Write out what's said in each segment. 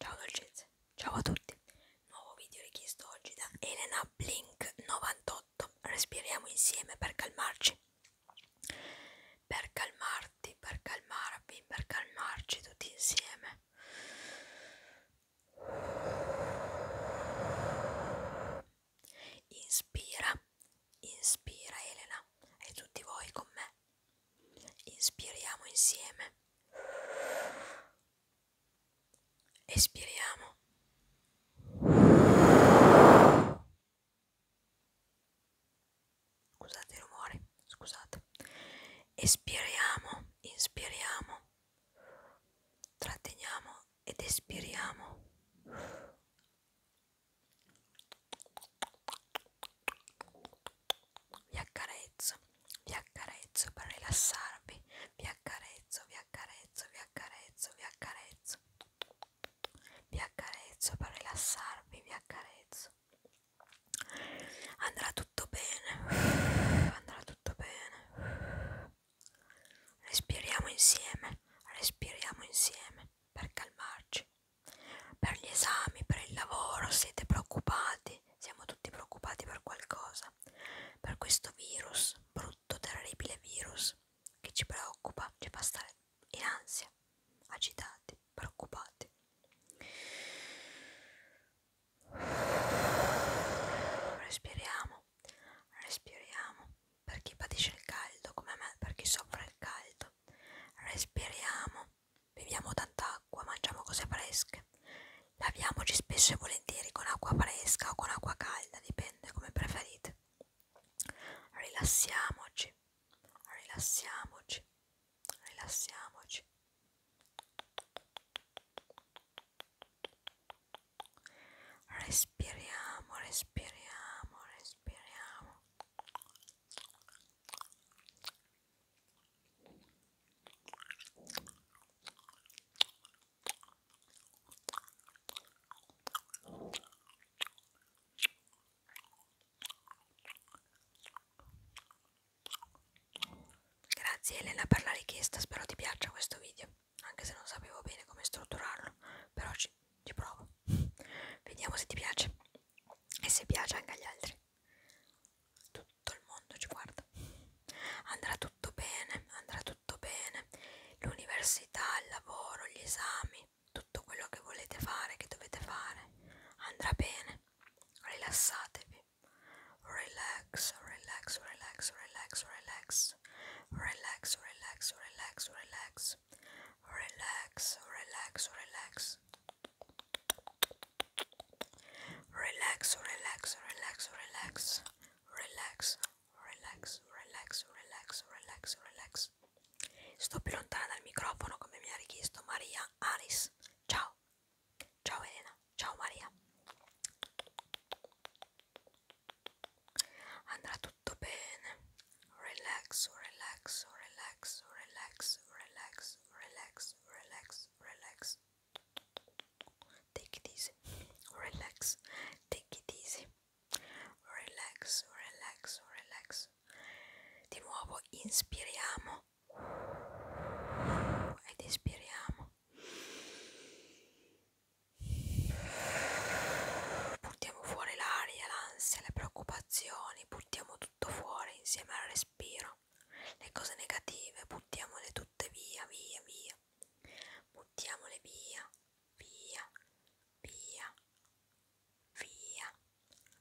Ciao dolcezze, ciao a tutti, nuovo video richiesto oggi da Elena Blink98, respiriamo insieme per calmarci, per calmarti, per calmarvi, per calmarci tutti insieme. Inspira, inspira Elena e tutti voi con me. Inspiriamo insieme. Espiriamo. Scusate i rumori, scusate. Espiriamo, inspiriamo. Tratteniamo ed espiriamo vi accarezzo, vi accarezzo per rilassarvi, vi accarezzo, vi accarezzo, vi accarezzo, vi accarezzo, vi accarezzo per rilassarvi, vi accarezzo. Andrà tutto bene, andrà tutto bene. Respiriamo insieme, respiriamo insieme per calmarci per gli esami, per il lavoro, siete preoccupati, siamo tutti preoccupati per qualcosa, per questo virus, brutto, terribile virus che ci preoccupa, ci fa stare in ansia, agitati, preoccupati. Respiriamo, respiriamo per chi patisce il caldo come me, per chi soffre il caldo, respiriamo Beviamo tanta acqua, mangiamo cose fresche, laviamoci spesso e volentieri con acqua fresca o con acqua calda, dipende come preferite. Rilassiamoci, rilassiamoci, rilassiamoci. Respiriamo, respiriamo, respiriamo. Grazie Elena per la richiesta, spero ti piaccia questo video, anche se non sapevo bene come strutturarlo, però ci, ci provo. Vediamo se ti piace e se piace anche agli altri tutto il mondo ci guarda andrà tutto bene andrà tutto bene l'università il lavoro gli esami tutto quello che volete fare che dovete fare andrà bene rilassatevi relax relax relax relax relax relax relax relax relax relax relax relax Relax, relax, relax, relax, relax, relax, relax, relax, relax, relax. Sto più lontana dal microfono come mi ha richiesto Maria Aris. Ciao, ciao Elena, ciao Maria. Andrà tutto bene relax, relax, relax, relax, relax, relax, relax, relax. Take it easy, relax, take it easy, relax, relax, relax. Di nuovo inspiriamo ed espiriamo. Buttiamo fuori l'aria, l'ansia, le preoccupazioni, buttiamo tutto fuori insieme al respiro. Le cose negative buttiamole tutte via, via, via. Buttiamole via, via, via, via.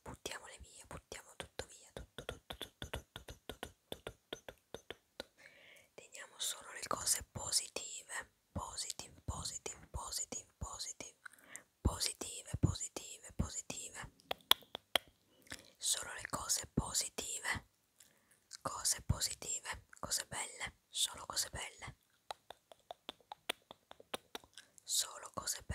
Buttiamole via, buttiamo tutto via, tutto, tutto, tutto, tutto, tutto, tutto, tutto, tutto, tutto. Teniamo solo le cose positive, positive, positive, positive, positive positive, positive, positive. Solo le cose positive. Cose positive, cose belle, solo cose belle. Solo cose belle.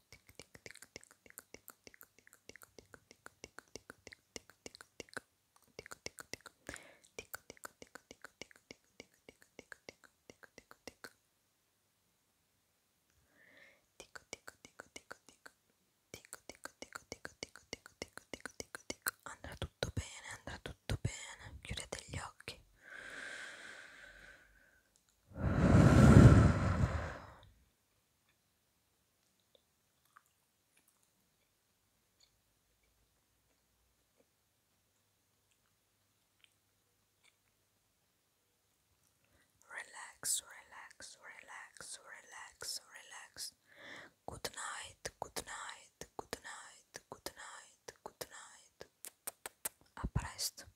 andrà tutto bene, andrà tutto bene, chiudete gli occhi. Relax, relax, relax, relax, relax. Good night, good night, good night, good night, good night. Up